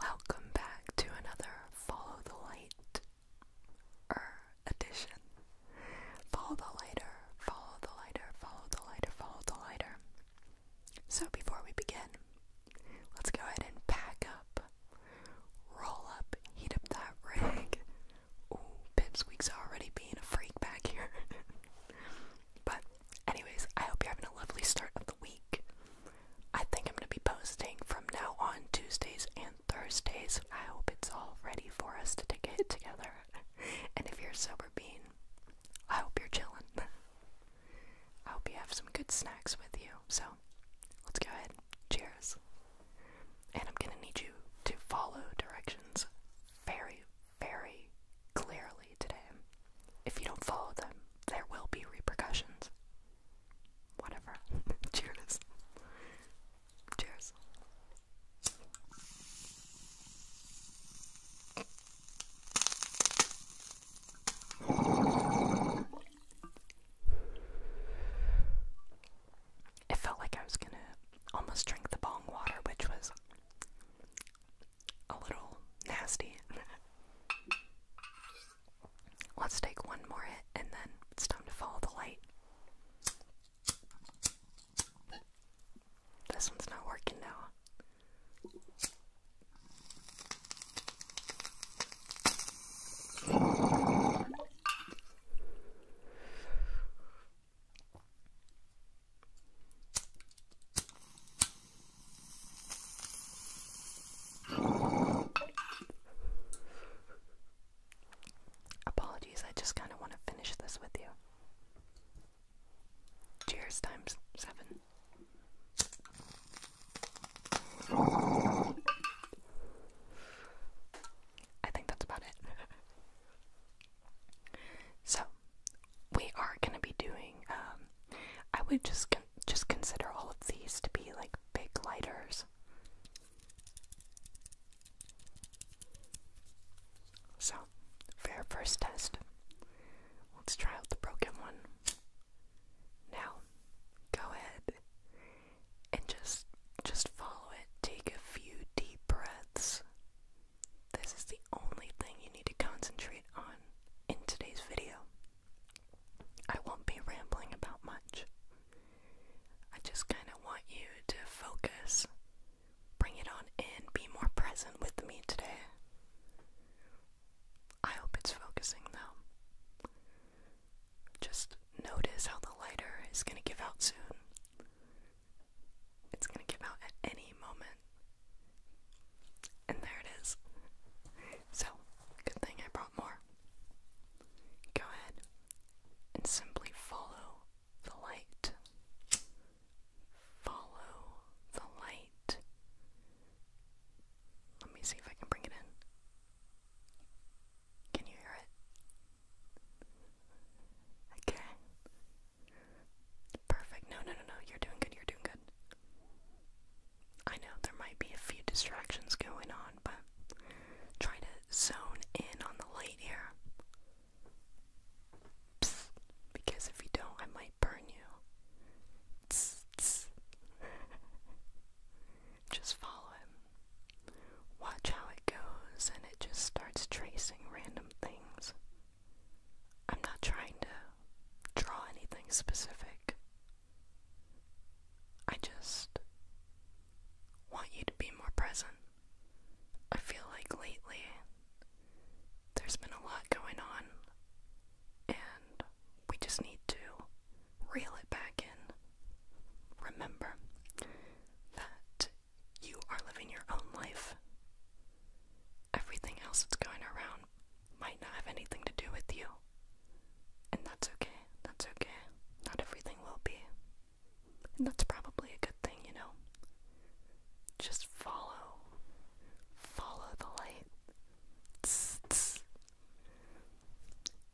Welcome back to another Follow the Light er edition. Follow the lighter, follow the lighter, follow the lighter, follow the lighter. So before we begin, let's go ahead and pack up, roll up, heat up that rig. Ooh, Pipsqueak's already being a freak back here. but anyways, I hope you're having a lovely start of the week. I think I'm going to be posting from now on Tuesdays and Thursdays. I hope it's all ready for us to take it together. and if you're sober bean, I hope you're chilling. I hope you have some good snacks with you. So let's go ahead. Cheers. And I'm going to need you to follow directions very, very clearly today if you don't follow them, there will be repercussions. Whatever. Cheers. Cheers. It felt like I was gonna almost drink the bong water, which was a little nasty. Let's take one more hit and then it's time to follow the light. This one's not working now. Apologies, I just kind of want to finish this with you. Cheers times seven. I think that's about it. so, we are gonna be doing. Um, I would just just consider all of these to be like big lighters. So, for our first test, let's try out the broken one. Now, go ahead and just just follow it. Take a few deep breaths. This is the only thing you need to concentrate on in today's video. I won't be rambling about much. I just kind of want you to focus, bring it on and be more present with me today. I hope it's focusing though. Just notice how the lighter is going to give out soon. It's going to give out at any moment. And there it is. So, good thing I brought more. Go ahead and simply follow the light. Follow the light. Let me see if I can bring it in. Can you hear it? Okay. Perfect. No, no, no, no. You're doing good. You're doing good. I know there might be a few distractions going on, but try to zone in on the light here. because if you don't, I might burn you. just follow him. Watch how it goes, and it just starts tracing random things. I'm not trying to draw anything specific. I just want you to be more present. I feel like lately there's been a lot going on, and we just need to reel it back in. Remember that you are living your own life. Everything else that's going around might not have anything to do with you. And that's okay, that's okay. Not everything will be. And that's probably a good thing, you know? Just follow. Follow the light.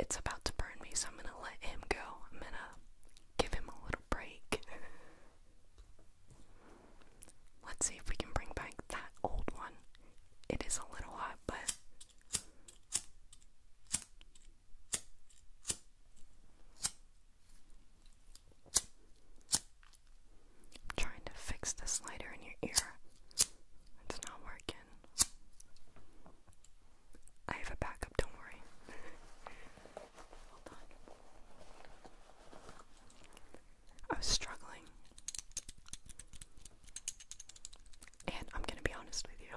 It's about to burn me, so I'm gonna let him go. I'm gonna give him a little break. Let's see if we can bring back that old one. It is a little hot, but. trying to fix this lighter in your ear. It's not working. I have a backup, don't worry. Hold on. I was struggling. And I'm gonna be honest with you.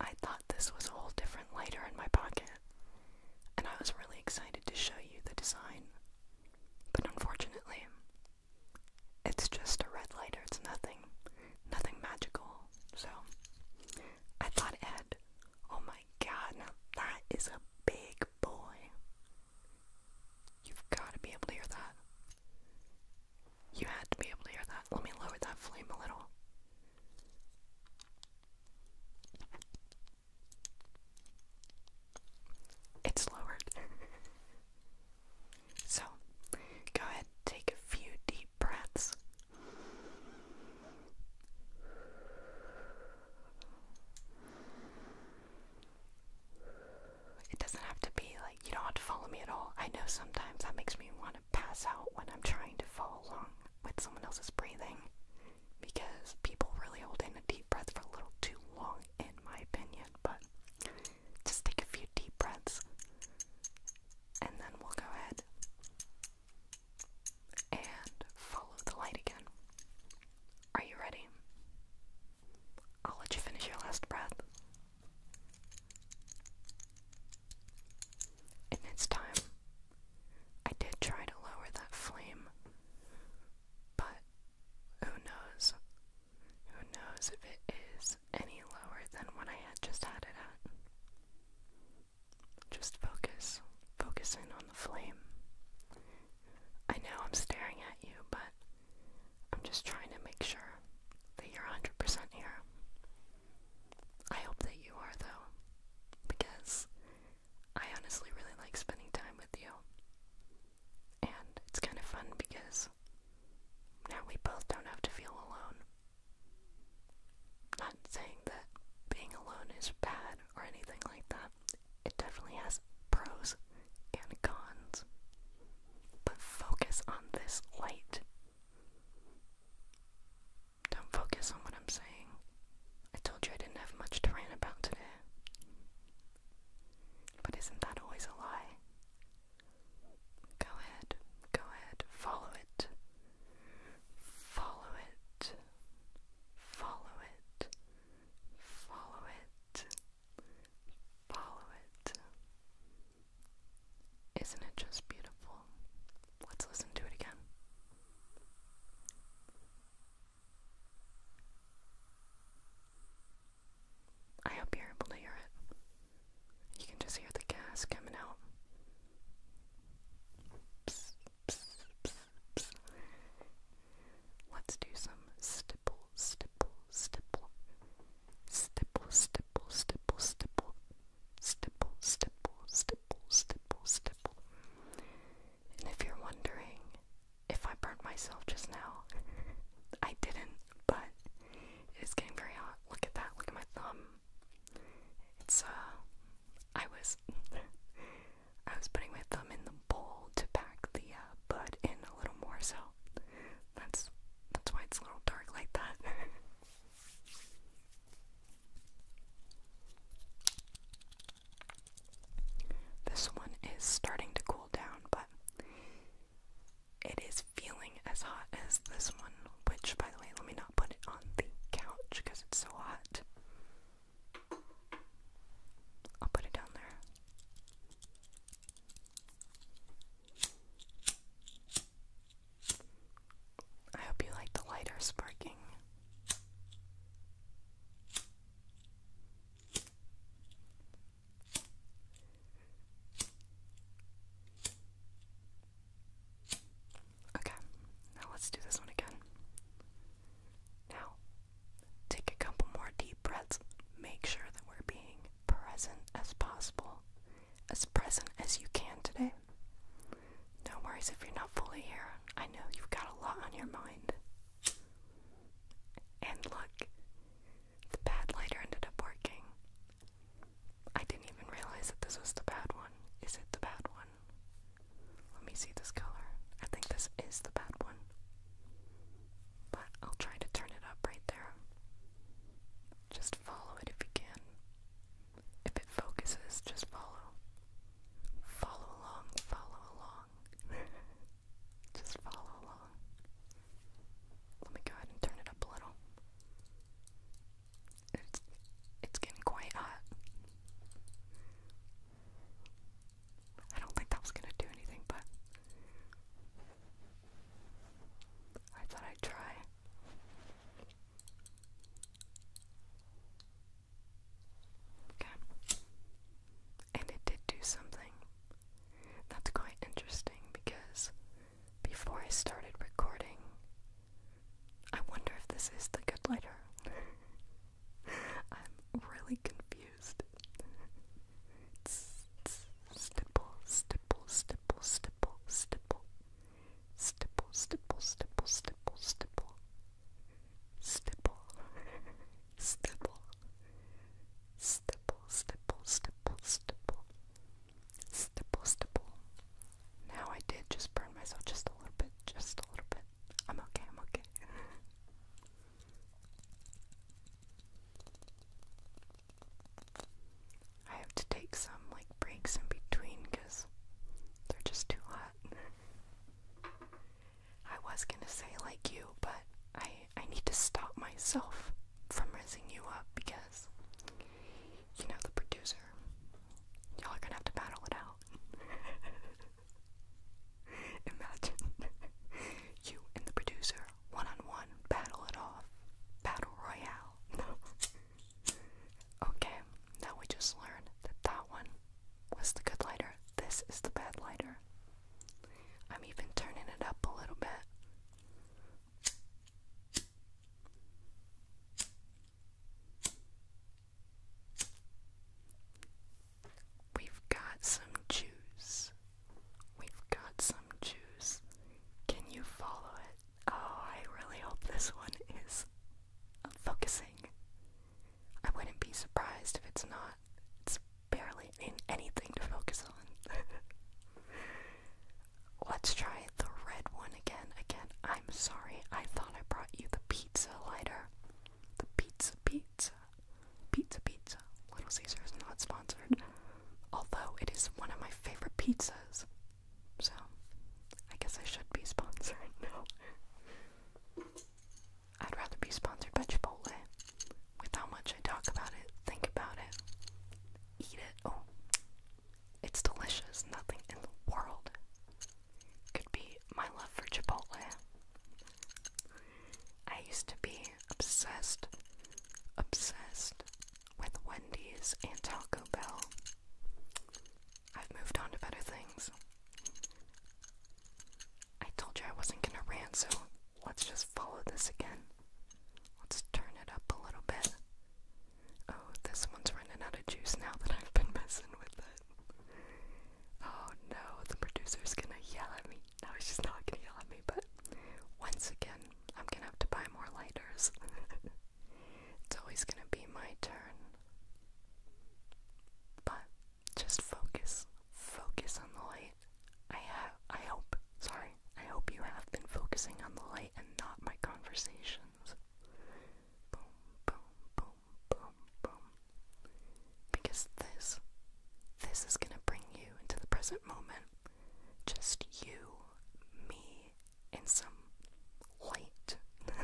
I thought this was a whole different lighter in my pocket, and I was really excited to show you the design. But unfortunately, it's just a red lighter, it's nothing, nothing magical. So I thought it Oh my god, now that is a big boy. You've got to be able to hear that. You had to be able to hear that. Let me lower that flame a little. It's lowered. so, go ahead, take a few deep breaths. It doesn't have to be like, you don't have to follow me at all. I know sometimes that makes me want to pass out when I'm trying to follow along with someone else's breathing because people really hold in a deep breath for a little too long, in my opinion. But just take a few deep breaths and then we'll go ahead and follow the light again. Are you ready? I'll let you finish your last breath. And it's time. I did try to lower that flame, but who knows? Who knows if it is any lower than what I had just had it at. Just focus. Focus in on the flame. I know I'm staring at you, but I'm just trying to make sure that you're 100% here. I hope that you are, though, because I honestly really like spending time with you. And it's kind of fun because now we both don't have to feel alone. Not saying that being alone is bad or anything like that. It definitely has pros and cons. But focus on this light. Don't focus on what I'm saying. I told you I didn't have much to rant about today. But isn't that always a lie? Go ahead, go ahead, follow it. Follow it. Follow it. Follow it. Follow it. Isn't it just beautiful? Let's listen to it again. I hope you're able to hear it. You can just hear the gas coming out. Let's do some stipple. Stipple, stipple, stipple, stipple. Stipple, stipple, stipple, stipple, stipple. And if you're wondering if I burnt myself just now, I didn't but it is getting very hot. Look at that, look at my thumb. It's, uh, I was, I was putting my thumb in the bowl to pack the, uh, bud in a little more, so that's, that's why it's a little dark like that. This one is starting to cool down, but it is feeling as hot as this one, which, by the way, let me not put it on the couch because it's so hot. I'll put it down there. I hope you like the lighter sparking. Okay, now let's do this one again. Now, take a couple more deep breaths. Make sure that we're being present as possible, as present as you can today. No worries if you're not fully here. I know you've got a lot on your mind. And look, the bad lighter ended up working. I didn't even realize that this was the bad one. Is it the bad one? Let me see this color. I think this is the bad one. But I'll try to turn it up right there. Just follow it if you can. If it focuses, just follow. Follow along, follow along. Just follow along. Let me go ahead and turn it up a little. It's getting quite hot. I don't think that was gonna do anything, but I thought I'd try. Okay. And it did do something, that's quite interesting because before I started recording, I wonder if this is the good lighter. I'm really confused. Stipple, stipple, stipple, stipple, stipple. Stipple, stipple, stipple, stipple, stipple. Stipple. Stipple stipple, stipple, stipple, stipple, stipple, stipple. Now I did just burn myself just a little bit, just a little bit. I'm okay, I'm okay. I have to take some like breaks in between because they're just too hot. I was gonna say like you, but I I need to stop myself from raising you up because, you know, the producer, y'all are gonna have to battle it out. Imagine you and the producer one on one battle it off. Battle Royale. okay, now we just learned that that one was the good lighter, this is the bad lighter. I'm even turning it up a little bit. We've got some juice. We've got some juice. Can you follow it? Oh, I really hope this one is focusing. I wouldn't be surprised if it's not barely anything to focus on. Let's try the red one again. Again, I'm sorry. I thought I brought you the pizza lighter. The pizza pizza. Pizza pizza. Little Caesars not sponsored. Although it is one of my favorite pizzas. So I guess I should be sponsored now. I'd rather be sponsored by Chipotle. With how much I talk about it, think about it, eat it. Oh, it's delicious. Nothing in the world could be my love for Chipotle. I used to be obsessed, obsessed with Wendy's and Taco Bell. I've moved on to better things. I told you I wasn't gonna rant, so let's just follow this again. Let's turn it up a little bit. Oh, this one's running out of juice now that I've been messing with it. Oh no, the producer's gonna yell at me. No, she's not gonna yell at me, but once again, I'm gonna have to buy more lighters. it's always gonna be my turn. But just focus focus on the light. I have, I hope, sorry, I hope you have been focusing on the light and not my conversations. Boom, boom, boom, boom, boom. Because this, this is gonna bring you into the present moment. Just you, me, and some light.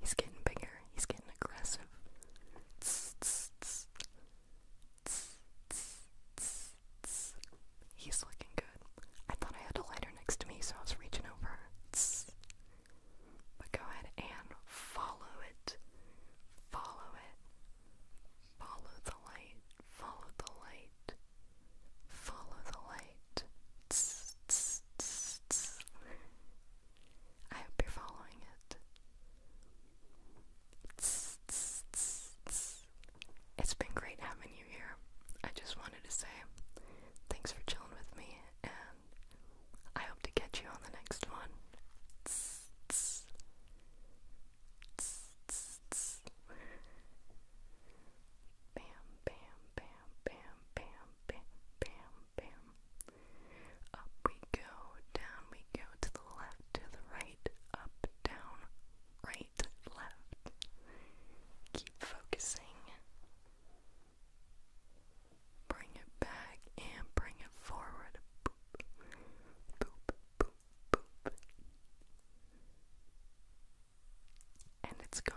He's getting bigger. He's getting aggressive. He's looking good. I thought I had a lighter next to me, so I was reaching over. But go ahead and follow it. Follow it. Follow the light. Follow the light. Follow the light. I hope you're following it. It's been great having you here. I just wanted to say thanks for chilling with me, and I hope to catch you on the next one. Bam, bam, bam, bam, bam, bam, bam bam. Up we go, down we go, to the left, to the right, up, down, right, left. Keep focusing. Bring it back and bring it forward. Boop, boop, boop, boop. And it's gone.